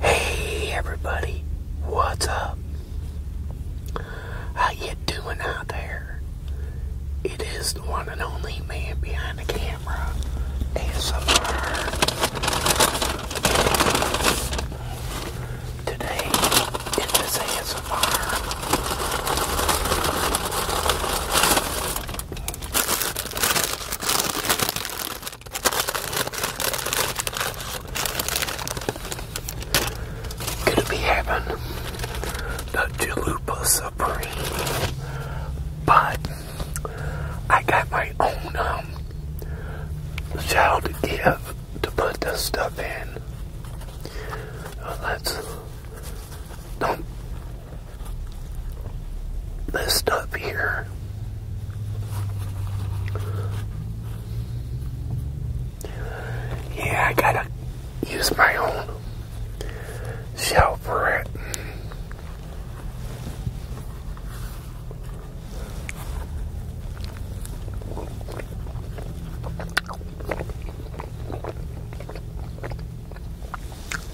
Hey everybody, what's up? How you doing out there? It is the one and only man behind the camera, ASMR. Today, it is ASMR. Gonna be having the Jalupa Supreme, but I got my own um, shell to give to put this stuff in. let's don't this stuff here. Yeah, I gotta use my own shell for it.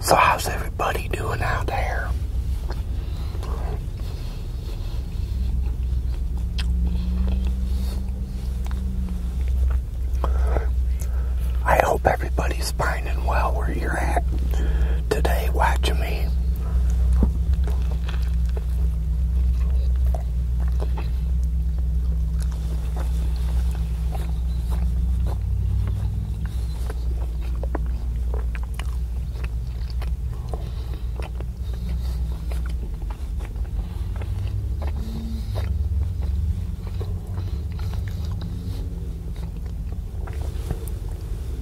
So how's everybody doing out there? I hope everybody's Everybody's well where you're at today watching me.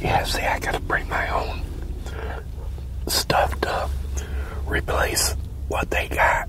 Yeah, see, I gotta bring my own stuff up, replace what they got.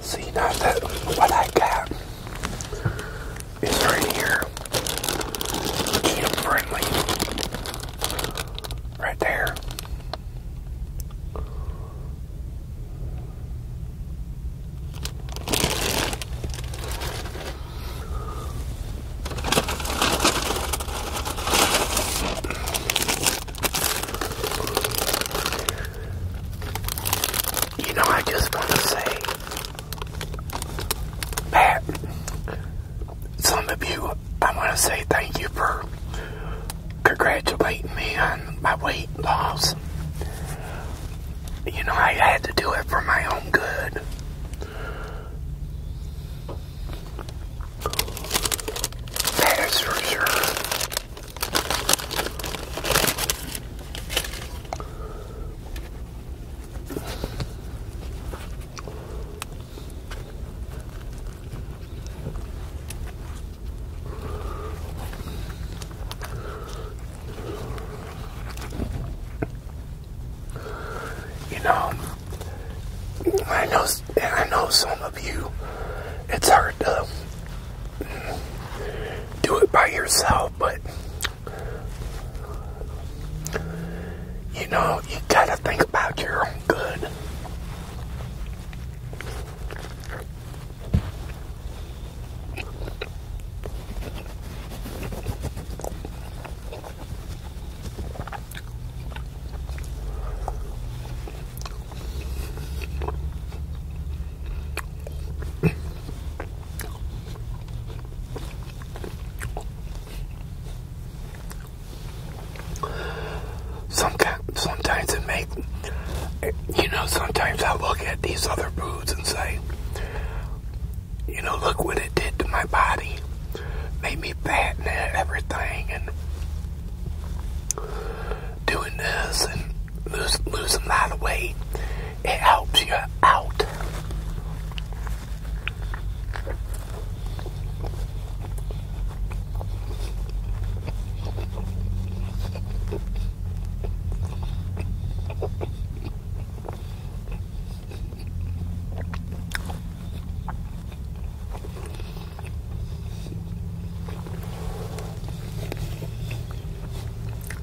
See now that what I got is right here. Keto friendly. Right there. You know, I just want to say Matt, some of you, I want to say thank you for congratulating me on my weight loss. You know, I had to do it for my own good. That is for sure. You know, I know, I know some of you, it's hard to do it by yourself, but you know, you gotta think about your own good. Sometimes, sometimes it makes, you know, sometimes I look at these other foods and say, you know, look what it did to my body. Made me fat and everything and doing this and lose, losing a lot weight it helps you out.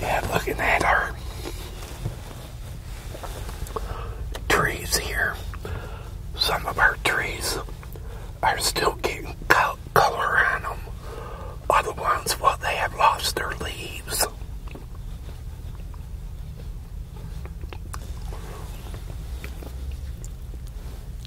Yeah, look at that. our trees here, some of our trees are still getting color on them. Other ones, well, they have lost their leaves.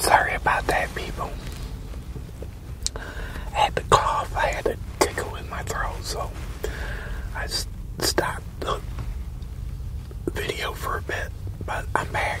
Sorry about that, people. I had to cough, I had a tickle in my throat, so I stopped the video for a bit, but I'm back.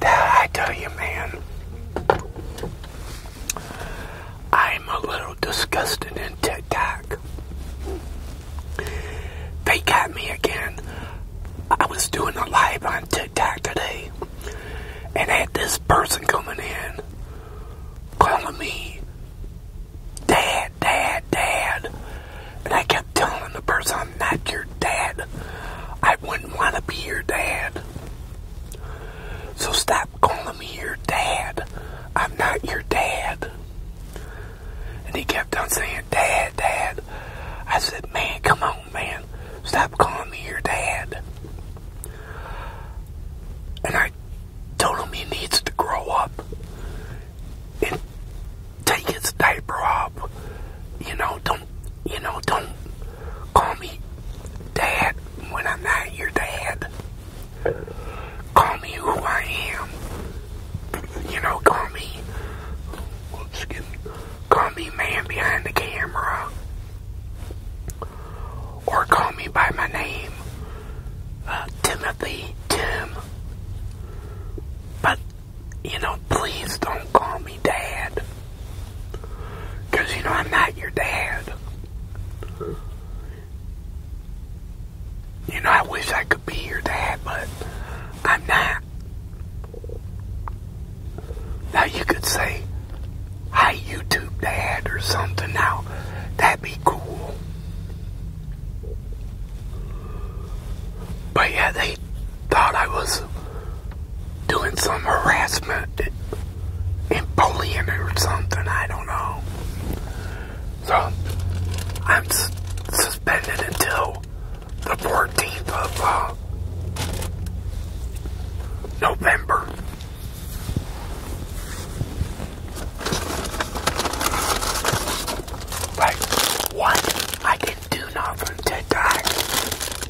Dad, I tell you, man. I'm a little disgusted in TikTok. They got me again. I was doing a live on TikTok today and had this person coming in calling me Dad, Dad, Dad. And I kept telling the person, I'm not your dad. I wouldn't want to be your dad. So stop calling me your dad. I'm not your dad. And he kept on saying, Dad, Dad. I said, Man, come on, man. Stop calling me your dad. And I told him he needs to grow up and take his diaper off. You know, don't, you know, don't Call me Dad when I'm not your dad. Call me who I am. You know, call me. Excuse me. Call me man behind the camera. Or call me by my name. Uh, Timothy Tim. But, you know, please don't call me Dad. Because, you know, I'm not your dad. You know, I wish I could be your dad, but I'm not. Now, you could say, Hi, YouTube Dad, or something. Now, that'd be cool. But yeah, they thought I was doing some harassment and bullying or something. I don't know. So, I'm suspended until the 14th of uh, November. Like, what? I didn't do nothing today.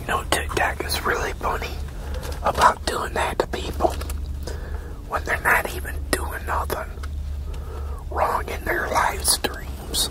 You know, TikTok is really funny about doing that to people when they're not even doing nothing wrong in their live streams.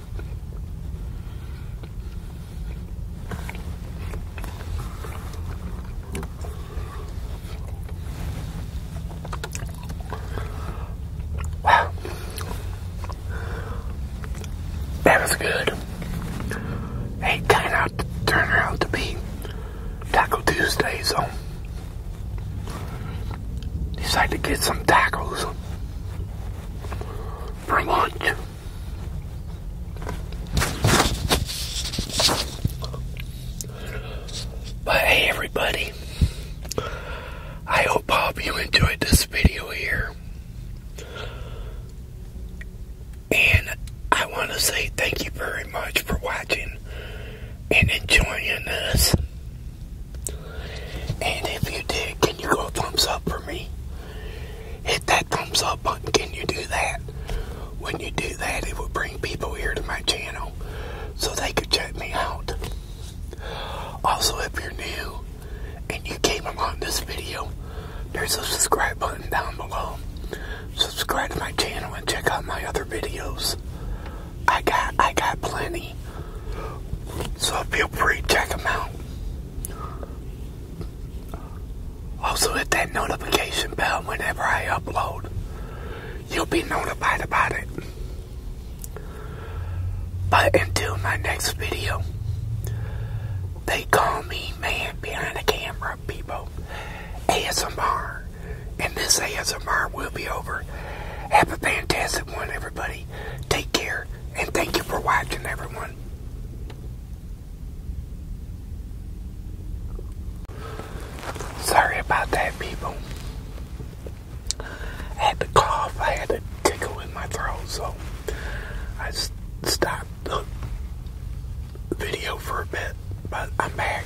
Wow. That was good. It kind of turned out to be Taco Tuesday, so decided to get some tacos for lunch. But hey, everybody, I hope you enjoyed this video here. And I want to say thank you very much for watching and enjoying us. And if you did, can you go thumbs up for me? hit that thumbs up button. Can you do that? When you do that, it will bring people here to my channel so they could check me out. Also, if you're new and you came along this video, there's a subscribe button down below. Subscribe to my channel and check out my other videos. I got I got plenty. So feel free to check them out. Also hit that notification bell whenever I upload. You'll be notified about it. But until my next video, they call me man behind the camera, people. ASMR. And this ASMR will be over. Have a fantastic one, everybody. Take care, and thank you for watching, everyone. Sorry about that, people. I had to cough, I had to tickle in my throat, so I stopped the video for a bit, but I'm back.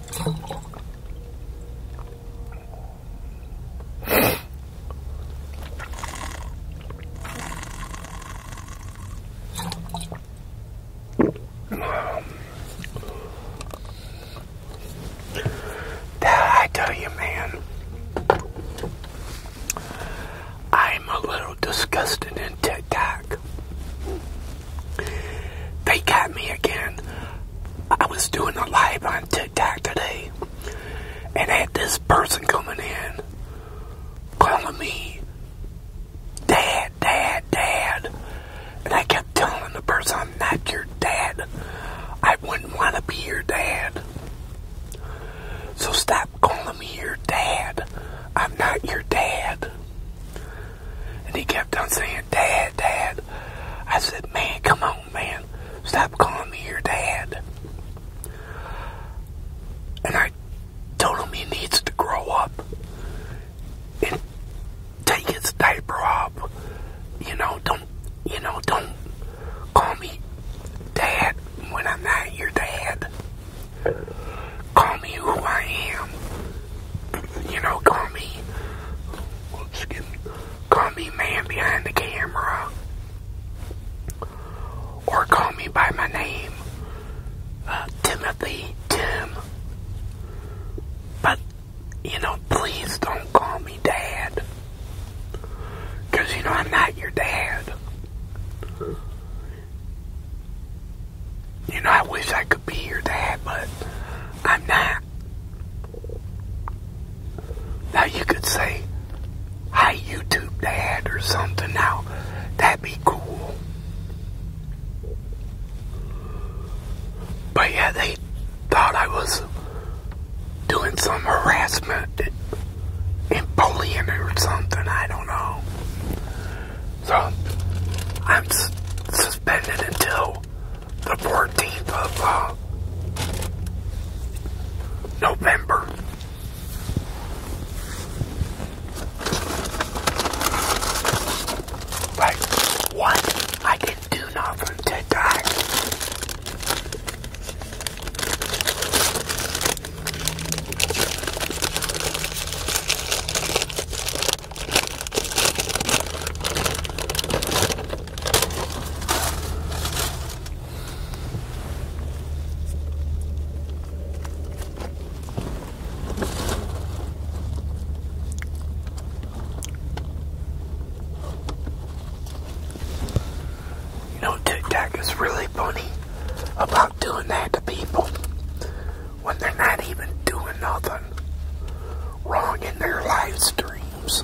I tell you, man, I'm a little disgusted in ticked out. They got me again. I was doing a live on TikTok today and had this person coming in calling me Dad, Dad, Dad. And I kept telling the person, I'm not your dad. I wouldn't want to be your dad. So stop calling me your dad. I'm not your dad. And he kept on saying, Dad, Dad. I said, Man, come on, man. Stop calling me your dad. And I told him he needs to grow up and take his diaper off. You know, don't, you know, don't call me dad when I'm not your dad. Call me who I am. You know, call me. Excuse me. Call me man behind the camera. Or call me by my name. Uh, Timothy Tim. But, you know, please don't call me dad. Because, you know, I'm not your dad. You know, I wish I could be your dad, but I'm not. Now you could say, hi YouTube dad or something. Now, that'd be cool. But yeah, they thought I was doing some harassment and bullying or something. I don't know. So I'm suspended until the 14th of uh, November. Like, what? I didn't do nothing today. You know, tic tac is really funny about doing that to people when they're not even doing nothing wrong in their live streams.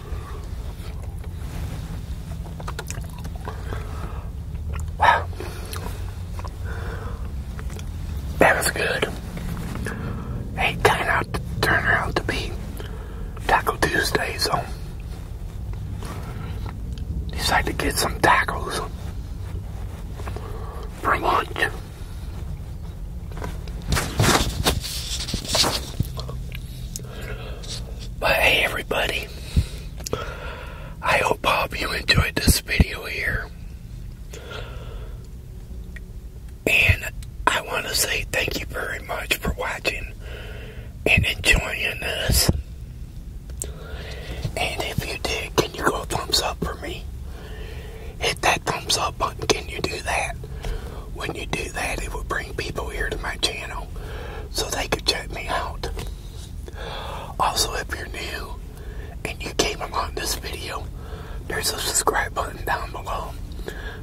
That was good. Hey, kind out to be Taco Tuesday, so decided to get some tacos for lunch. But hey, everybody, I hope you enjoyed this video here. And I want to say thank you very much for watching and enjoying us. And if you did, can you go thumbs up for me? Hit that thumbs up button. Can you do that? when you do that, it will bring people here to my channel so they could check me out. Also, if you're new and you came along this video, there's a subscribe button down below.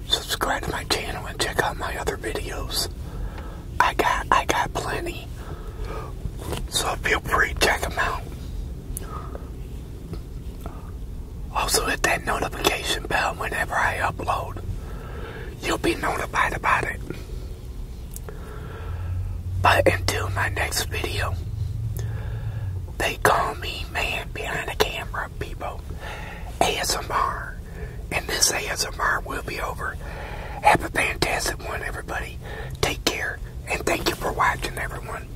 Subscribe to my channel and check out my other videos. I got I got plenty. So feel free to check them out. Also hit that notification bell whenever I upload you'll be notified about it. But until my next video, they call me man behind the camera, people. ASMR. And this ASMR will be over. Have a fantastic one, everybody. Take care, and thank you for watching, everyone.